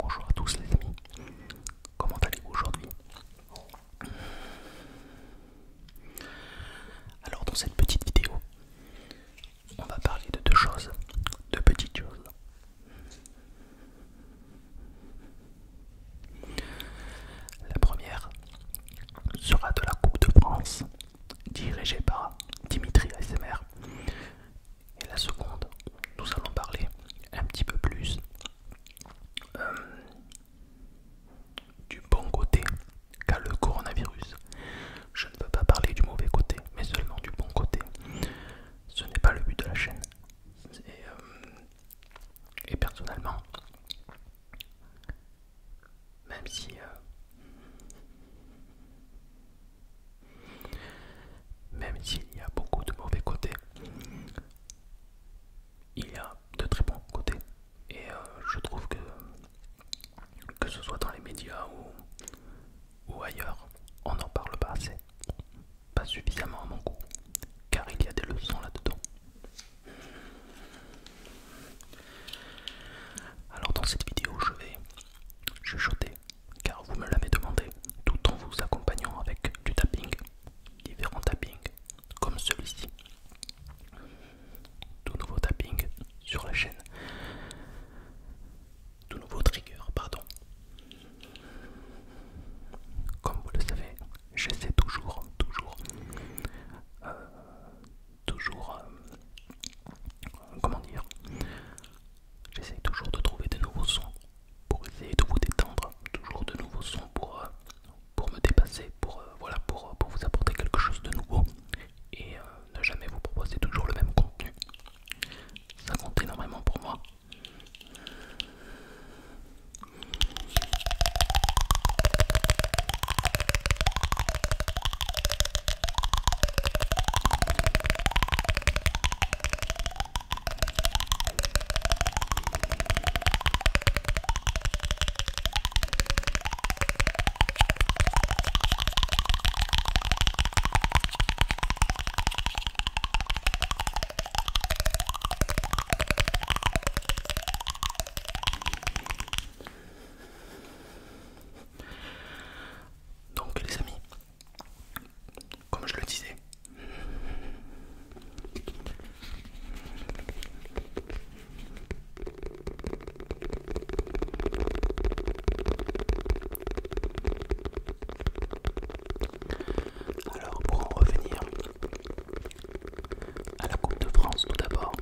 Bonjour à tous les amis, comment allez-vous aujourd'hui alors dans cette petite vidéo, on va parler de deux choses, deux petites choses. La première sera de la Coupe de France, dirigée par Dimitri ASMR. Et la seconde, nous allons parler un petit peu plus euh, du bon côté qu'à le coronavirus. Je ne veux pas parler du mauvais côté, mais seulement du bon côté. Ce n'est pas le but de la chaîne. Et, euh, personnellement, même si... Euh, même s'il y a beaucoup de mauvais côtés, il y a de très bons côtés. Et euh, je trouve que que ce soit dans les médias ou, ailleurs, on n'en parle pas assez, pas suffisamment à mon goût, car il y a des leçons là-dedans. Alors dans cette vidéo, je vais chuchoter, car vous me l'avez demandé, tout en vous accompagnant avec du tapping, différents tappings, comme celui-ci tout nouveau tapping sur la chaîne, tout nouveau trigger, pardon. Comme vous le savez, j'essaie toujours, toujours, euh, toujours, euh, comment dire, j'essaie toujours de trouver de nouveaux sons pour essayer de vous détendre, toujours de nouveaux sons pour, euh, pour me dépasser, pour, voilà, pour, pour vous apporter quelque chose de nouveau et euh, ne jamais vous proposer toujours le même contenu. Ça compte énormément pour moi. Donc les amis, comme je le disais, alors pour en revenir à la Coupe de France tout d'abord.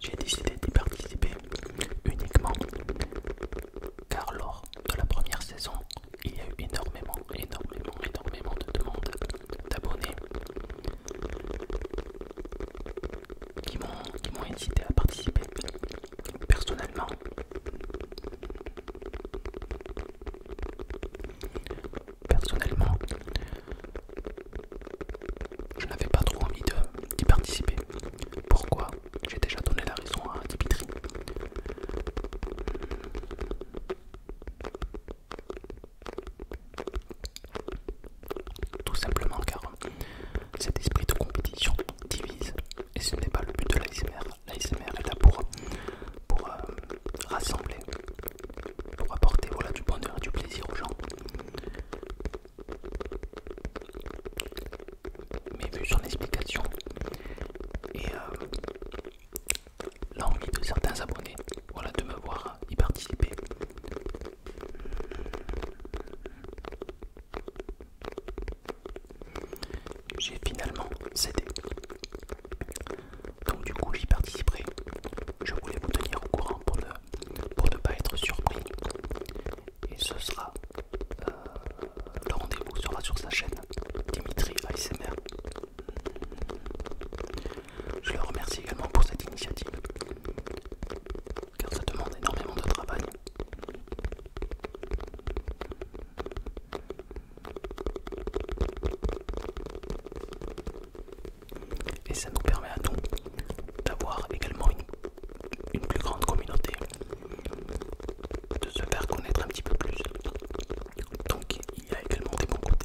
J'ai décidé d'y participer uniquement car lors de la première saison, il y a eu énormément, énormément, énormément de demandes d'abonnés qui m'ont incité à participer personnellement. Personnellement, je n'avais pas trop envie d'y participer. Pourquoi J'ai déjà donné la raison à Dimitri. Tout simplement car cet esprit de compétition divise et ce n'est pas le but de l'ASMR. L'ASMR est là pour, euh, rassembler, pour apporter du bonheur et du plaisir aux gens mais vu son explication et euh, l'envie de certains abonnés voilà, de me voir y participer. J'ai finalement cédé. Donc du coup j'y participerai. Je voulais vous tenir au courant pour ne, pas être surpris. Et ce sera euh, le rendez-vous sera sur sa chaîne, Dimitri ASMR. Je le remercie également pour cette initiative, car ça demande énormément de travail. Et ça nous permet à nous d'avoir également une plus grande communauté de se faire connaître un petit peu plus. Donc il y a également des bons côtés.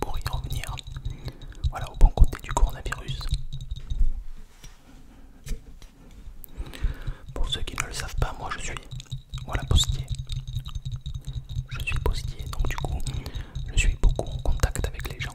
Pour y revenir, voilà au bon côté du coronavirus. Pour ceux qui ne le savent pas, moi je suis voilà postier. Je suis postier, donc du coup, je suis beaucoup en contact avec les gens.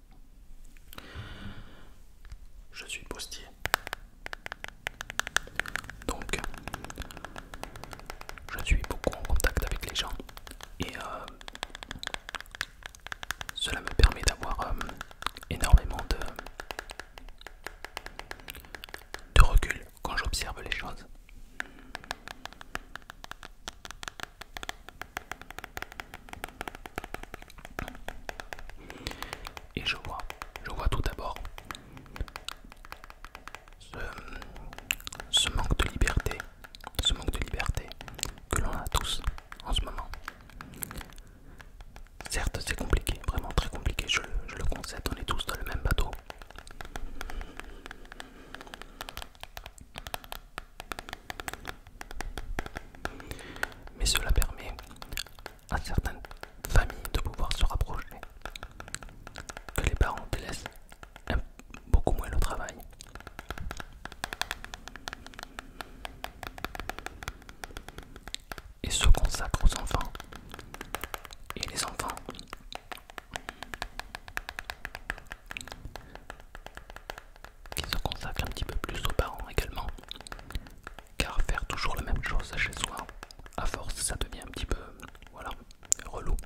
Je suis postier. Donc, je suis beaucoup en contact avec les gens et euh, cela me permet d'avoir euh, énormément de recul quand j'observe les choses. Et je vois, je vois tout d'abord ce, manque de liberté, ce manque de liberté que l'on a tous en ce moment. Certes, c'est compliqué, vraiment très compliqué, je le, je le on est tous dans le même bateau. Mais cela permet à certaines familles de pouvoir se rapprocher, que les parents délaissent beaucoup moins le travail. Et se consacrent aux enfants. Et les enfants qui se consacrent un petit peu plus aux parents également. Car faire toujours la même chose chez soi, à force, ça devient un petit peu, voilà, relou.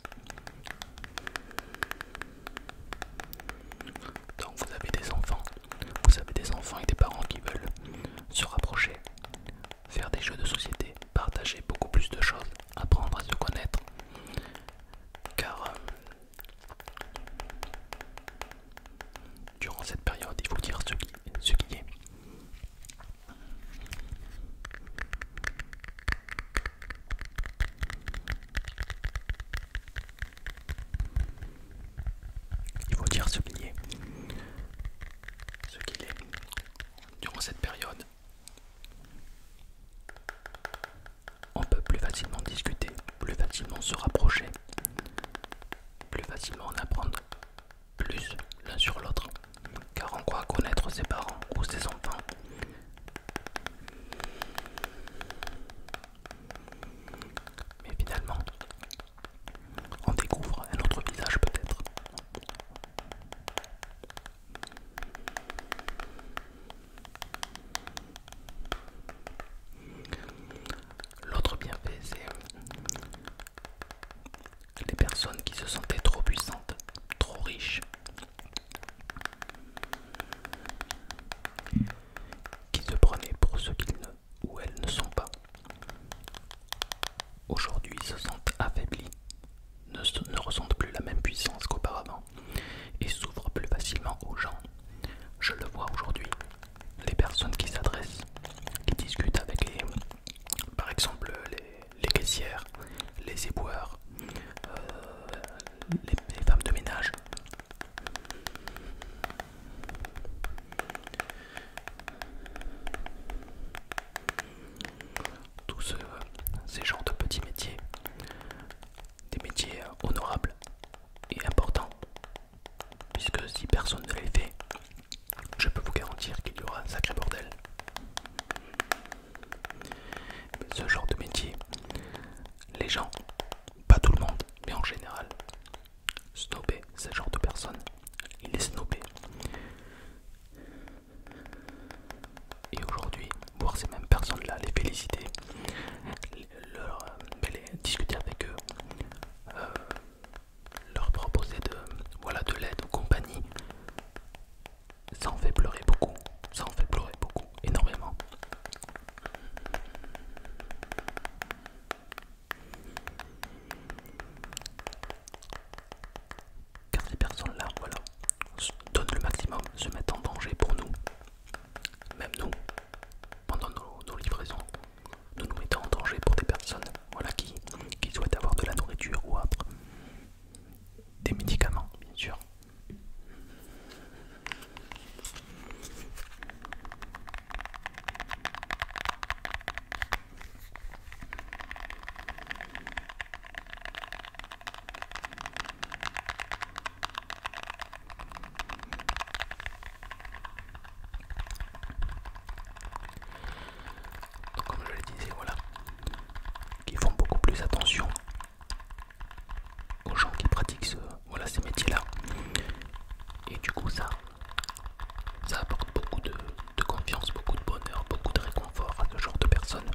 Donc vous avez des enfants, vous avez des enfants et des parents qui veulent se rapprocher, faire des jeux de société, partager beaucoup plus de choses, apprendre à se connaître. Car euh, Durant cette période, il faut dire ce qui, est. Il faut dire ce qui est. Ce qu'il est. Durant cette période, on peut plus facilement discuter, plus facilement se rapprocher, plus facilement en apprendre plus l'un sur l'autre, car on croit connaître ses parents ou ses enfants. Mais finalement, on découvre un autre visage peut-être. L'autre bienfait, c'est euh, les personnes qui se sentaient trop puissantes, trop riches, qui se prenaient pour ce qu'ils ne ou elles ne sont pas. Aujourd'hui se sentent affaiblies, ne, ressentent plus la même puissance qu'auparavant et s'ouvrent plus facilement aux gens. Je le vois aujourd'hui, les personnes qui s'adressent, qui discutent avec les, par exemple les, caissières, les éboueurs, euh, les, femmes de ménage. Tous euh, ces genres de petits métiers des métiers euh, honorables et importants. Puisque si personne ne les fait, je peux vous garantir qu'il y aura un sacré bordel. Ce genre de métier, les gens, pas tout le monde, mais en général, snobé, ce genre de personnes, il est snobé. Et aujourd'hui, voir ces mêmes personnes-là, les féliciter, leur euh, discuter avec eux, euh, leur proposer de voilà de l'aide ou compagnie. Ça en fait pleurer beaucoup, ça en fait pleurer beaucoup, énormément. Car ces personnes-là, voilà, donnent le maximum, se mettent en danger pour nous, même nous pendant nos, livraisons, nous nous mettons en danger pour des personnes voilà, qui, qui souhaitent avoir de la nourriture ou Des médicaments, bien sûr comme je le disais, voilà, qui font beaucoup plus attention aux gens qui pratiquent ce, voilà, ces métiers-là. Et du coup, ça, ça apporte beaucoup de, confiance, beaucoup de bonheur, beaucoup de réconfort à ce genre de personnes.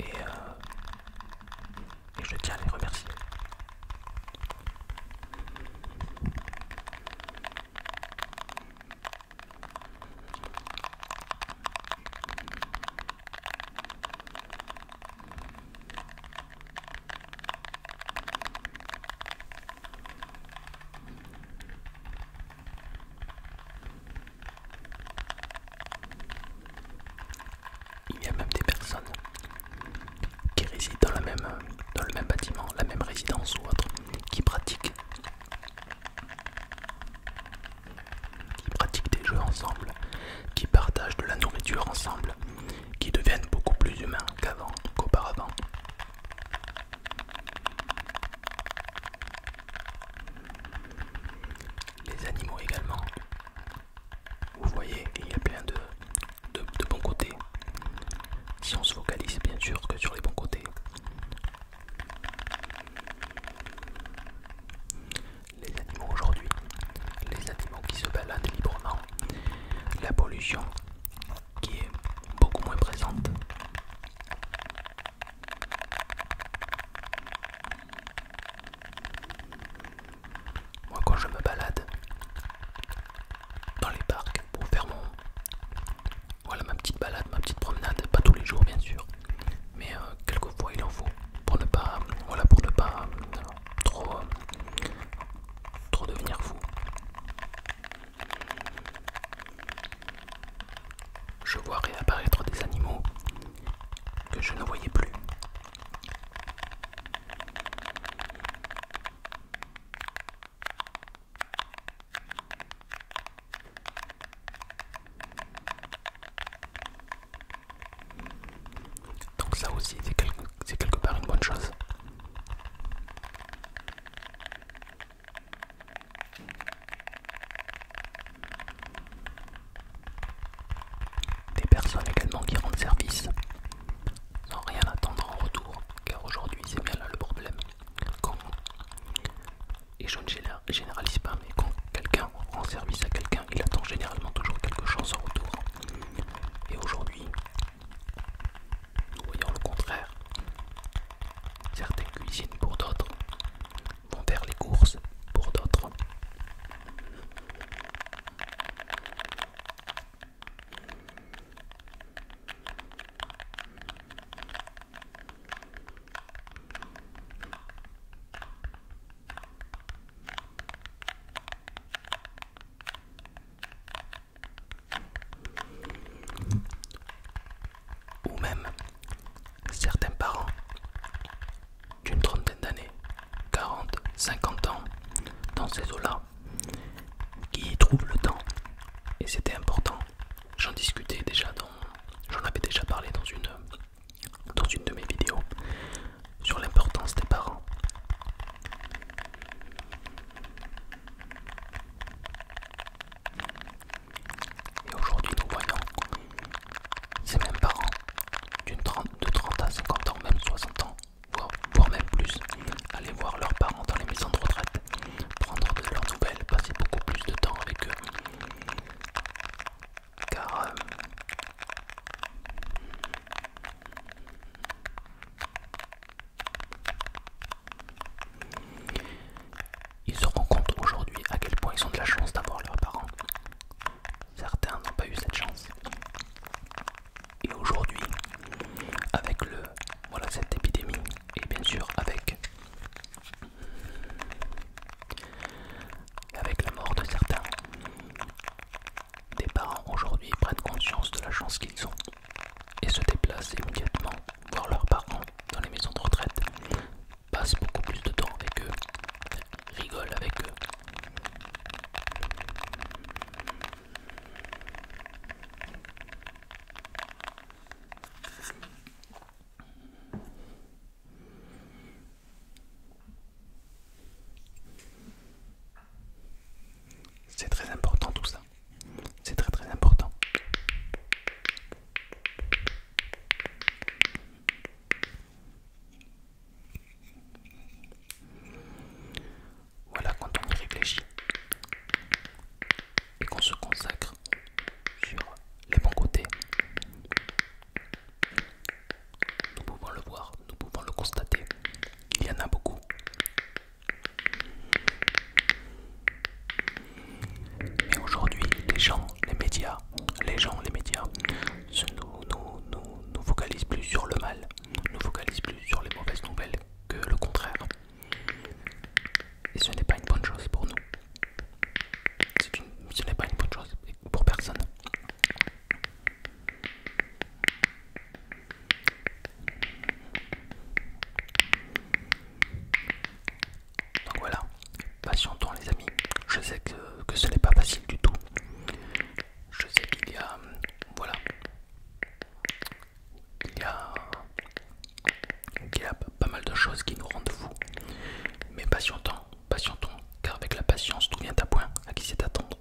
Et euh, et je tiens à les remercier. Il y a même des personnes qui résident dans, le même bâtiment, la même résidence ou autre, qui pratiquent, qui pratiquent des jeux ensemble, qui partagent de la nourriture ensemble, qui deviennent beaucoup plus humains qu'avant, qu'auparavant. Les animaux également vous voyez, il y a plein de, de, bons côtés. Si on se focalise bien sûr que sur les bons côtés. Les animaux aujourd'hui, les animaux qui se baladent librement, la pollution qui est beaucoup moins présente. Moi quand je me balade dans les parcs pour faire Voilà ma petite balade, ma petite promenade, pas tous les jours bien sûr, mais euh, quelquefois il en faut pour ne pas... Voilà pour ne pas euh, trop... trop devenir fou. Je vois réapparaître des animaux que je ne voyais plus donc ça aussi c'est quelque, quelque part une bonne chose. Des personnes également qui rendent service sans rien attendre en retour, car aujourd'hui c'est bien là le problème. Quand, et je ne généralise pas, mais quand quelqu'un rend service à quelqu'un, il attend généralement toujours quelque chose en retour. Et aujourd'hui, nous voyons le contraire. Certaines cuisinent pour d'autres, vont faire les courses pour d'autres. Ou même certains parents d'une trentaine d'années, 40, 50 ans, dans ces eaux-là, qui y trouvent le temps. Et c'était important. J'en discutais déjà dans... J'en avais déjà parlé dans une, dans une de mes vidéos sur l'importance des parents. Et aujourd'hui, nous voyons ces mêmes parents, de 30 à 50 ans, même 60 ans, voire, même plus, Aller voir leurs parents dans les maisons de retraite, prendre de leurs nouvelles, passer beaucoup plus de temps avec eux. Car... Euh, ils se rendent compte aujourd'hui à quel point ils ont de la chance d'avoir leurs parents. Certains n'ont pas eu cette chance. Et aujourd'hui, avec le voilà cette épidémie et bien sûr avec avec la mort de certains, des parents aujourd'hui prennent conscience de la chance qu'ils ont et se déplacent immédiatement voir leurs parents dans les maisons de retraite passe beaucoup plus de temps avec eux, rigole avec eux. C'est très important tout ça. C'est très très important. Voilà, quand on y réfléchit et qu'on se consacre sur les bons côtés, nous pouvons le voir, nous pouvons le constater. Il y en a beaucoup. Mais aujourd'hui, les gens, les médias, les gens, les médias, nous, focalisent plus sur le mal, nous focalisent plus sur les mauvaises nouvelles que le contraire. Et ce n'est pas une bonne chose pour nous. ce n'est pas une bonne chose pour personne. Donc voilà, patientons les amis. Je sais que, ce n'est pas facile du tout. Je sais qu'il y a... Voilà. Il y a... Il y a pas mal de choses qui nous rendent fous. Mais patientons, patientons, car avec la patience, tout vient à point. À qui c'est d'attendre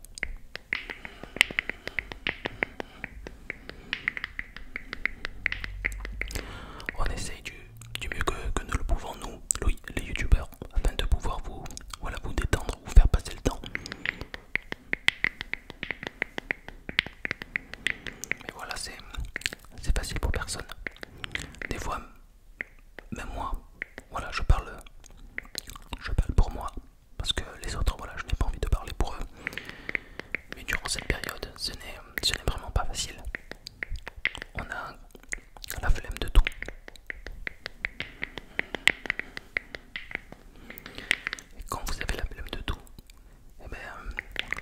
On essaye du, du mieux que, que nous le pouvons nous, les Youtubers, afin de pouvoir vous, vous détendre, vous faire passer le temps. Mais voilà, c'est facile pour personne. Des fois, même moi, voilà, je parle, je parle pour moi, parce que les autres, voilà, je n'ai pas envie de parler pour eux. Mais durant cette période, ce n'est vraiment pas facile on a la flemme de tout. Et quand vous avez la flemme de tout, eh ben,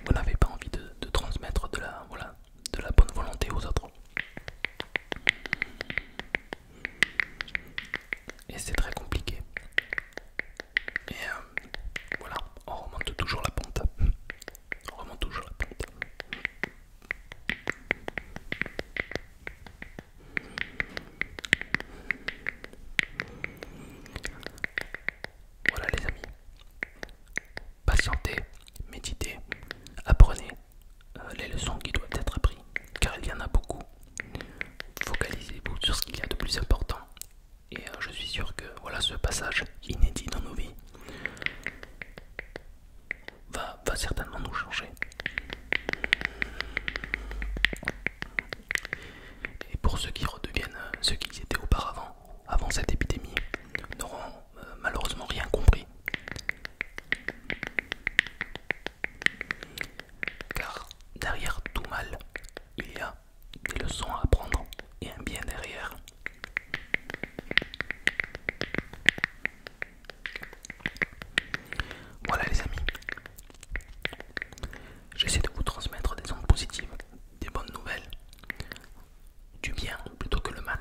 vous n'avez pas envie de, transmettre de la, bonne volonté aux autres. Et c'est très compliqué. Et euh, voilà, on remonte toujours la pente. On remonte toujours la Voilà les amis. Patientez, méditez, apprenez euh, les leçons qui doivent être apprises, car il y en a beaucoup. Focalisez-vous sur ce qu'il y a de plus important. Et euh, je suis sûr que voilà ce passage inédit dans nos vies va, certainement nous changer. Et pour ceux qui redeviennent euh, ceux qu'ils étaient auparavant, avant cette épidémie, n'auront euh, malheureusement rien compris. Car derrière tout mal, il y a des leçons à apprendre et un bien derrière. Voilà les amis, j'essaie de vous transmettre des ondes positives, des bonnes nouvelles, du bien plutôt que le mal.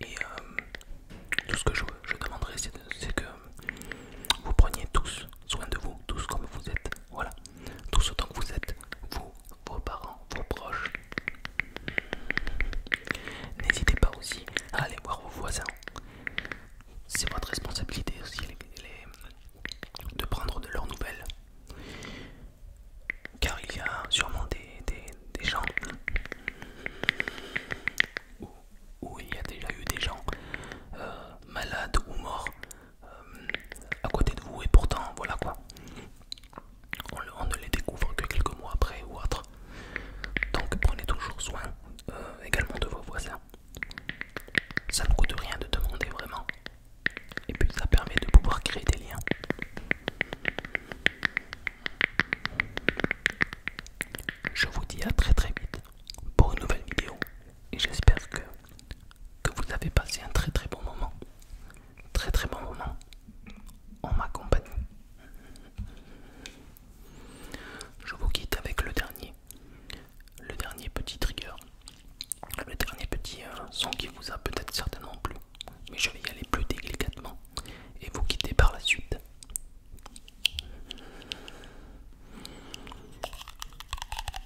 Et euh, tout ce que je, je demanderai, c'est que vous preniez tous soin de vous, tous comme vous êtes. Voilà ce temps que vous êtes, vous, vos parents, vos proches. N'hésitez pas aussi à aller voir vos voisins. C'est votre responsabilité aussi de prendre de leurs nouvelles. Car il y a sûrement des, gens où, il y a déjà eu des gens euh, malades ou morts euh, à côté de vous et pourtant voilà quoi on, ne les découvre que quelques mois après ou autre donc prenez toujours soin euh, également de vos voisins ça ne coûte rien de demander vraiment et puis ça permet de pouvoir créer des liens je vous dis à très très vite pour une nouvelle vidéo et j'espère que que vous avez passé un très très bon moment. Très très bon moment en ma compagnie. Je vous quitte avec le dernier. Le dernier petit trigger. Le dernier petit euh, son qui vous a peut-être certainement plu. Mais je vais y aller plus délicatement et vous quitter par la suite.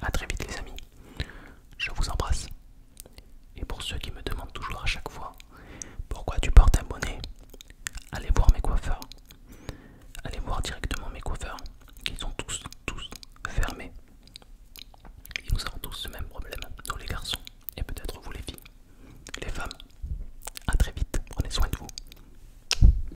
A très vite les amis, je vous embrasse. Et pour ceux qui me demandent toujours à chaque fois pourquoi tu portes un bonnet, allez voir mes coiffeurs. Allez voir directement mes coiffeurs, qui sont tous, tous fermés. Et nous avons tous le même problème, nous les garçons, et peut-être vous les filles, les femmes. À très vite, prenez soin de vous.